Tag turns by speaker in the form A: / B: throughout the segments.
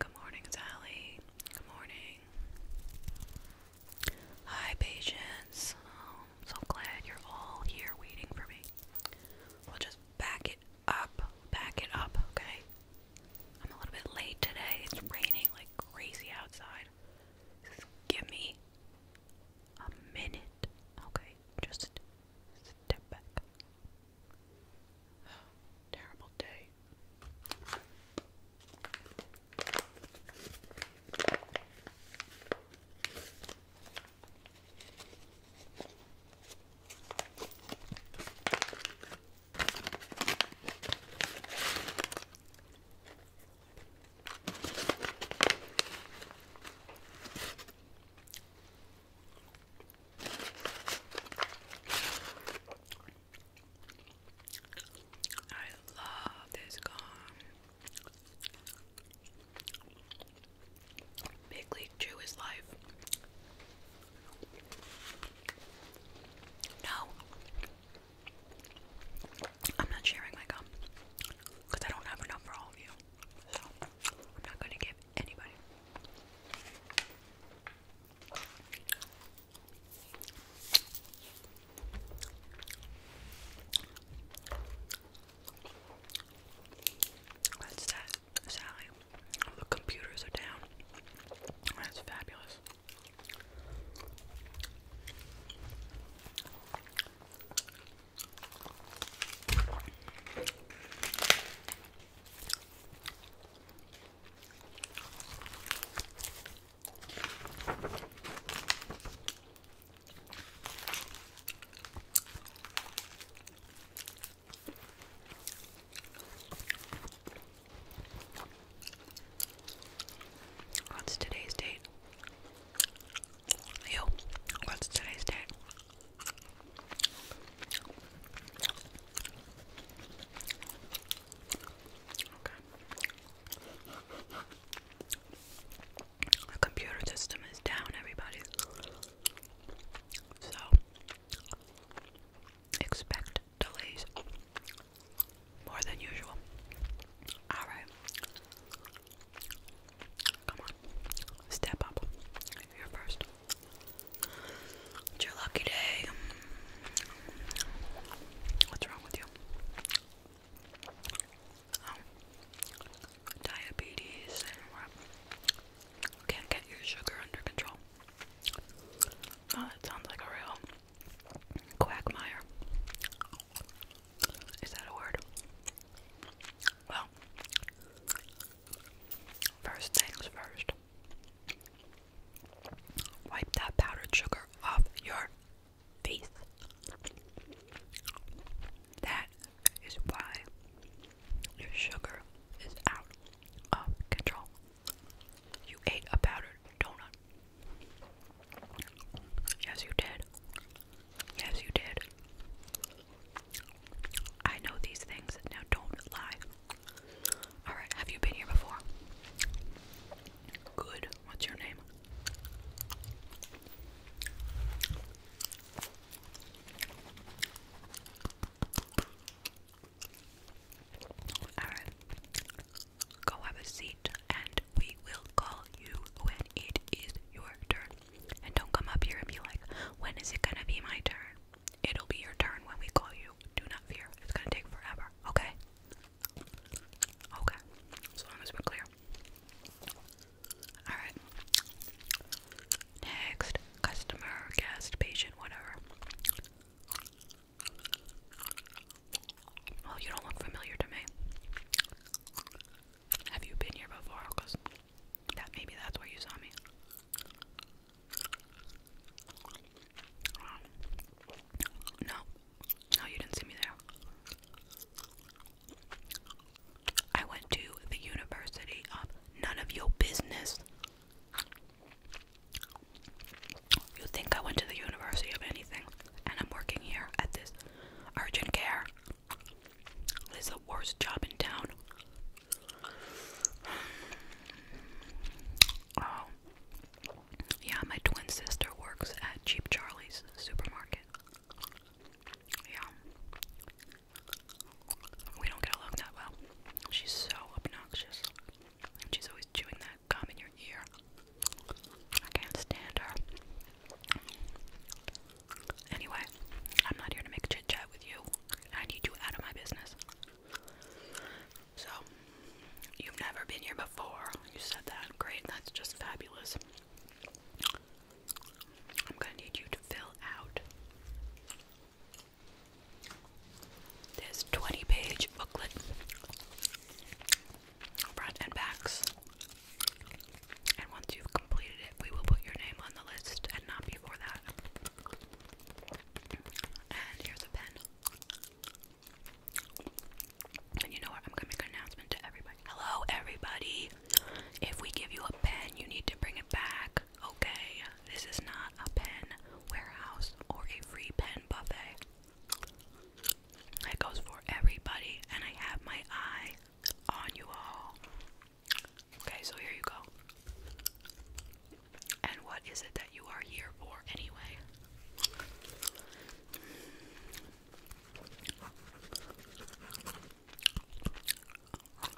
A: Good morning, Sally. Good morning. Hi, patience. Oh, so glad you're all here waiting for me. We'll just back it up. Back it up, okay? I'm a little bit late today. It's raining like crazy outside. give me a minute, okay? Just step back. terrible day. I love this gum. Big Chew is life. No. I'm not sharing my gum because I don't have enough for all of you. So I'm not going to give anybody. What's that, Sally? the computers are down. That's fabulous. What's today's date? Yo, what's today's date? The computer system is down, everybody. So, expect delays more than usual. Alright. Come on. Step up. You're first. It's your lucky day. What's wrong with you? Oh. Diabetes and Can't get your sugar under control. Oh, that sounds like a real quagmire. Is that a word? Well, first things first. Wipe that powdered sugar off your face. That is why your sugar is out of control. You ate a powdered donut. Yes, you did. Yes, you did. I know these things. Now don't lie. Alright, have you been here before? Good. What's your name? Alright. Go have a seat and we will call you when it is your turn. And don't come up here and be like, when is it gonna be my turn? It'll be your turn when we call you. Do not fear. It's gonna take forever. Okay? Okay. As long as we're clear. Alright. Next. Customer, guest, patient, whatever. Oh, you don't look familiar to me. Have you been here before? Because maybe that's where you saw me. No, no, you didn't see me there. I went to the University of None of Your Business. You think I went to the University of anything, and I'm working here at this urgent care. This the worst job in town. Oh. Yeah, my twin sister works at Cheap Charlie's supermarket. Yeah. We don't get along that well. She's so obnoxious. And she's always chewing that gum in your ear. I can't stand her. Anyway, I'm not here to make chit chat with you. I need you out of my business. So, you've never been here before. You said that. Great. That's just fabulous. I'm going to need you to fill out this 20 page booklet, front and backs. And once you've completed it, we will put your name on the list and not before that. And here's a pen. And you know what? I'm going an announcement to everybody. Hello, everybody. If we give you a pen, you need to bring it back. Okay, this is not a pen warehouse or a free pen buffet. It goes for everybody, and I have my eye on you all. Okay, so here you go. And what is it that you are here for anyway?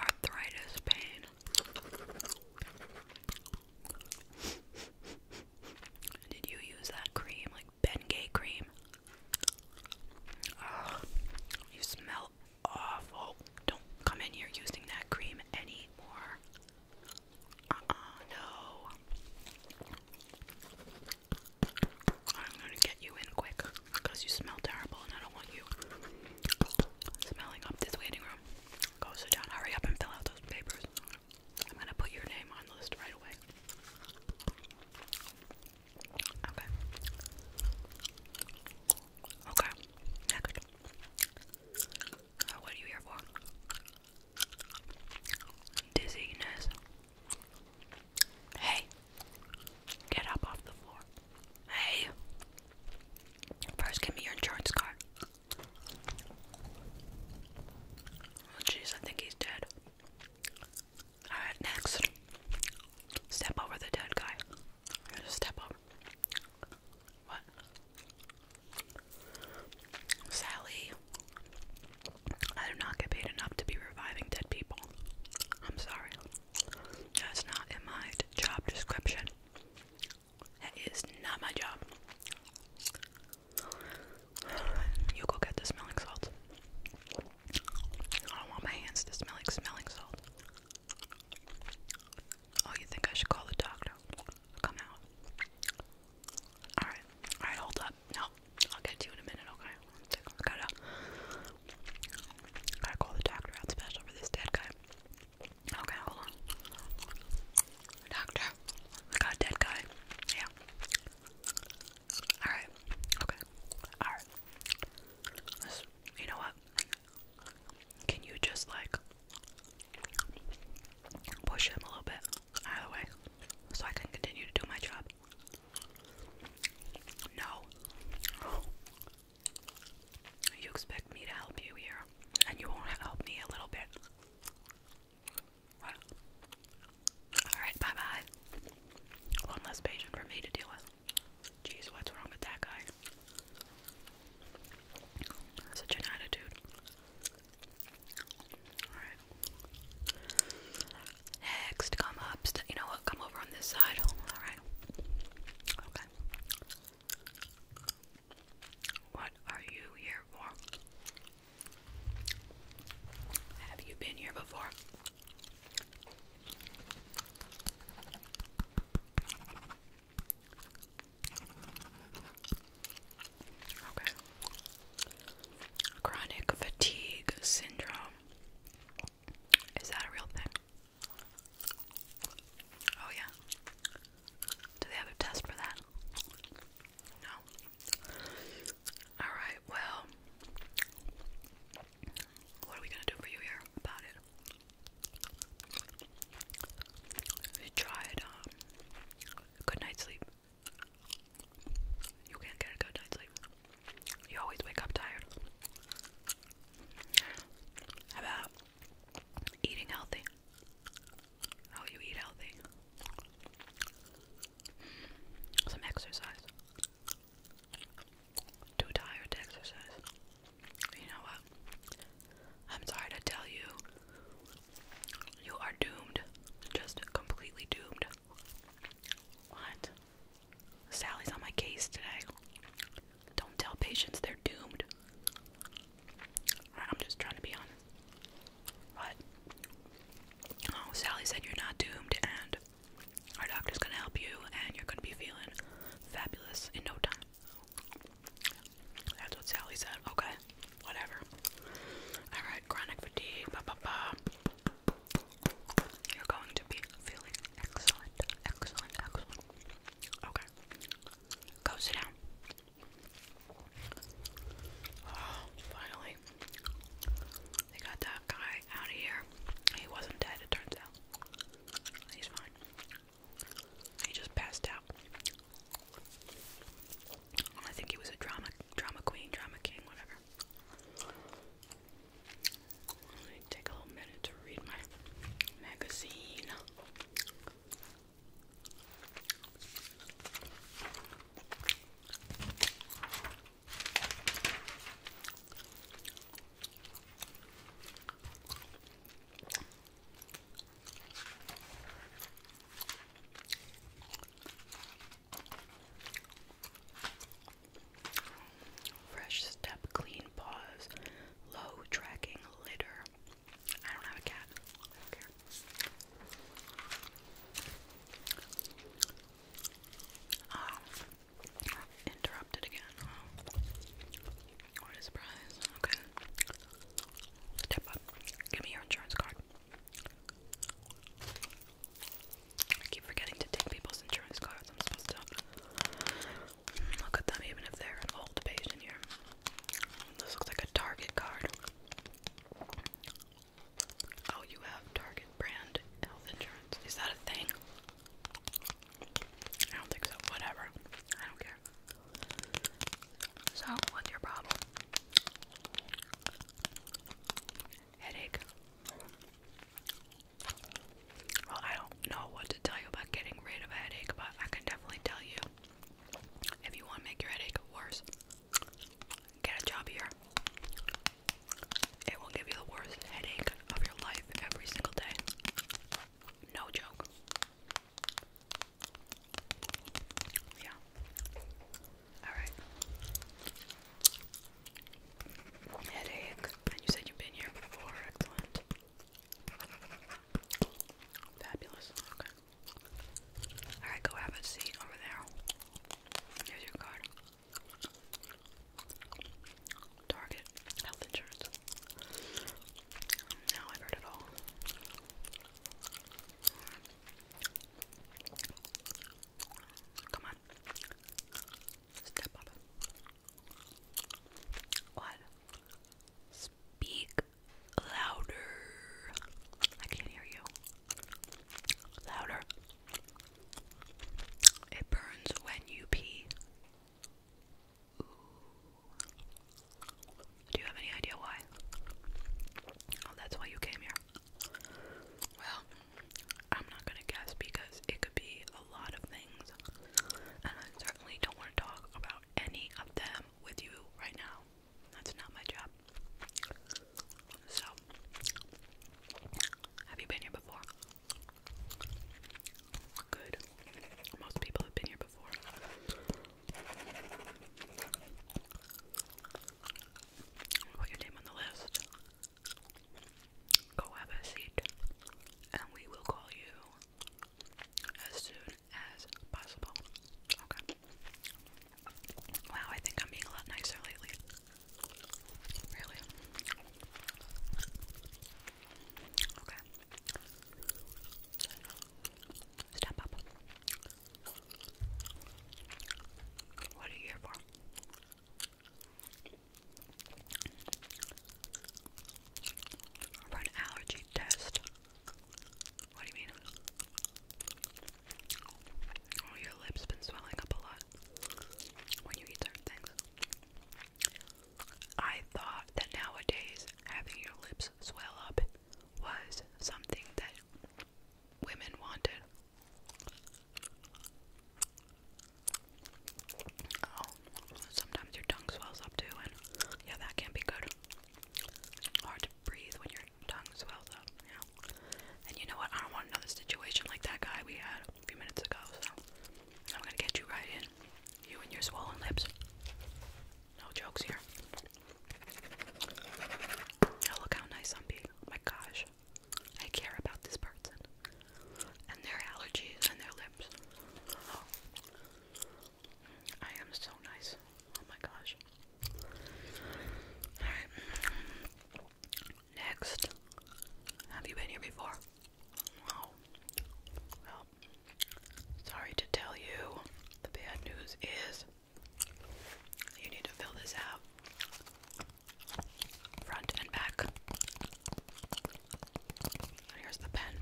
A: Arthritis pain. Did you use that cream, like Bengay cream? you smell awful. Don't come in here using that cream anymore. Uh no. I'm gonna get you in quick because you smell terrible and I don't want you smelling up this waiting room. Go sit down, hurry up and fill out those papers. I'm gonna put your name on the list right away. Okay. Okay. Next what are you here for? Dizziness. Hey, get up off the floor. Hey, first give me your insurance card. Oh, jeez, I think he's dead. Alright, next. Step over the dead guy. Just step over. What? Sally, I do not get paid enough to be reviving dead people. I'm sorry. That's not in my job description. That is not my job. You go get the smelling salt. I don't want my hands to smell like smelling salt. Oh, you think I should call the doctor? come out. Alright, alright, hold up. No, I'll get you in a minute, okay? I gotta, gotta call the doctor out special for this dead guy. Okay, hold on. Doctor, got a dead guy. Yeah. Alright, okay. Alright. You know what? Can you just like push him a little bit out of the way so I can continue to do my job? No. You expect me to help you here, and you won't help me a little bit. Alright, bye bye. One less patient for me to deal with. Jeez, what's wrong with that guy? Such an attitude. Alright. Next, come up. You know what? Come over on this side. Alright. Okay. What are you here for? Have you been here before? Okay. Chronic fatigue syndrome. Is that a real thing? Oh, yeah. Do they have a test for that? No. Alright, well, what are we gonna do for you here about it? If you um, good night's sleep. You can't get a good night's sleep. You always wake up tired. about eating healthy? How you eat healthy? Some exercise. Too tired to exercise. You know what? I'm sorry to tell you, you are doomed. Just completely doomed. What? Sally's on my case today. Don't tell patients they're doomed. I'm just trying to be honest. What? Oh, Sally said you're not doomed, and our doctor's gonna help you, and you're gonna be feeling fabulous in no time. That's what Sally said. Okay, whatever. Alright, chronic fatigue. You're going to be feeling excellent, excellent, excellent. Okay, go sit down. Oh, finally. They got that guy out of here. He wasn't dead, it turns out. He's fine. He just passed out. I think he was a drama drama queen, drama king, whatever. Let me take a little minute to read my magazine. Fresh step, clean paws, low tracking litter. I don't have a cat. Ah, interrupted again. What a surprise. Okay. Step up. Give me your insurance card. I keep forgetting to take people's insurance cards. I'm supposed to look at them even if they're an old patient here. This looks like a Target card. Oh, you have Target brand health insurance. Is that a thing? I don't think so. Whatever. I don't care. So, what's your problem? Headache. Well, I don't know what to tell you about getting rid of a headache, but I can definitely tell you if you want to make your headache worse, get a job here. It will give you the worst headache of your life every single day. No joke. Yeah. Alright. Headache. And you said you've been here before. Excellent. Fabulous. Okay. Alright, go have a seat over there. Here's your card. Target health insurance. Now i heard it all. Come on. Step up. What? Speak louder. I can't hear you. Louder. It burns when you pee. Do you have any idea why? Oh, that's why you came here. Well, I'm not gonna guess because it could be a lot of things, and I certainly don't want to talk about any of them with you right now. That's not my job. So, have you been here before? Good. Most people have been here before. Put your name on the list. Go have a seat, and we will call you as soon as possible. Okay. Wow, I think I'm being a lot nicer lately. Really? Okay. Step up. What are you here for? For an allergy test. What do you mean? Oh, your lips been swelling up a lot when you eat certain things. I thought that nowadays having your lips swell up was something that women wanted. Oh, sometimes your tongue swells up too, and yeah, that can be good. Hard to breathe when your tongue swells up, yeah. And you know what? I don't want another situation like that guy we had a few minutes ago, so I'm gonna get you right in. You and your swollen lips. No jokes here. Oh, look how nice I'm being. Oh my gosh. I care about this person. And their allergies and their lips. I am so nice. Oh my gosh. Alright. Next. Have you been here before? sorry to tell you, the bad news is you need to fill this out front and back. here's the pen.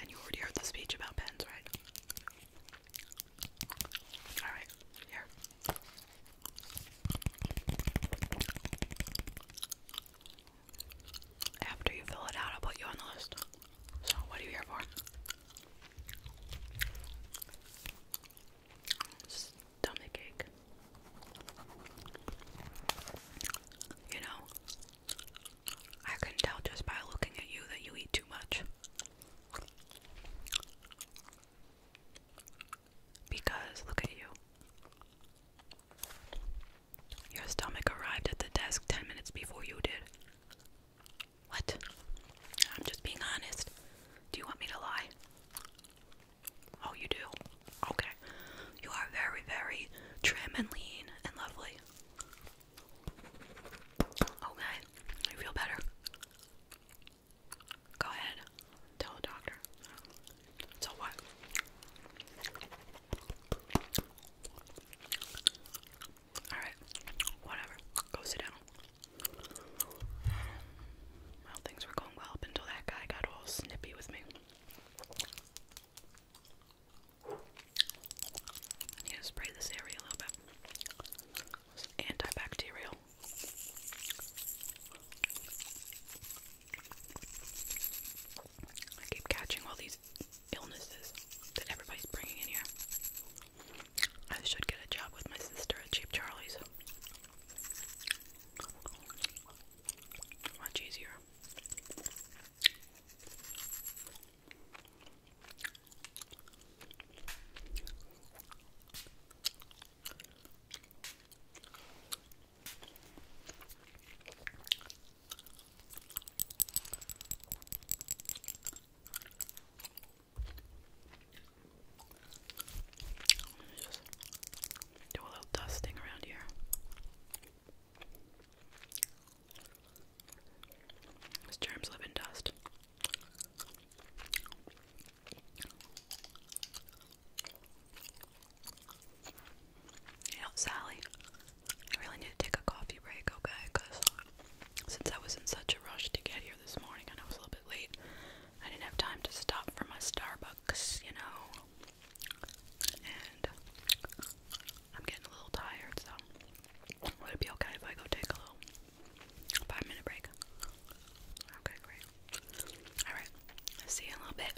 A: And you already heard the speech about pens, right? Alright, here. After you fill it out, I'll put you on the list. So, what are you here for? Stomach ache. You know, I can tell just by looking at you that you eat too much. Because look at you. Your stomach arrived at the desk 10 minutes before you did. What? I'm just being honest. Do you want me to lie? Oh, you do? Okay. You are very, very trim and lean and lovely. Okay. You feel better? Go ahead. Tell the doctor. So what? Alright, whatever. Go sit down. Well, things were going well up until that guy got all snippy with me. need to spray this area a little bit. antibacterial. I keep catching all these illnesses that everybody's bringing in here. I should get a job with my sister at Cheap Charlie's. Much easier. Just do a little dusting around here. These germs live in dust. You Sally, I really need to take a coffee break, okay? Because since I was in such a rush to get here this morning, and I was a little bit late, I didn't have time to stop for my Starbucks, you know. And I'm getting a little tired, so would it be okay if I go take a little five minute break? Okay, great. Alright, see you in a little bit.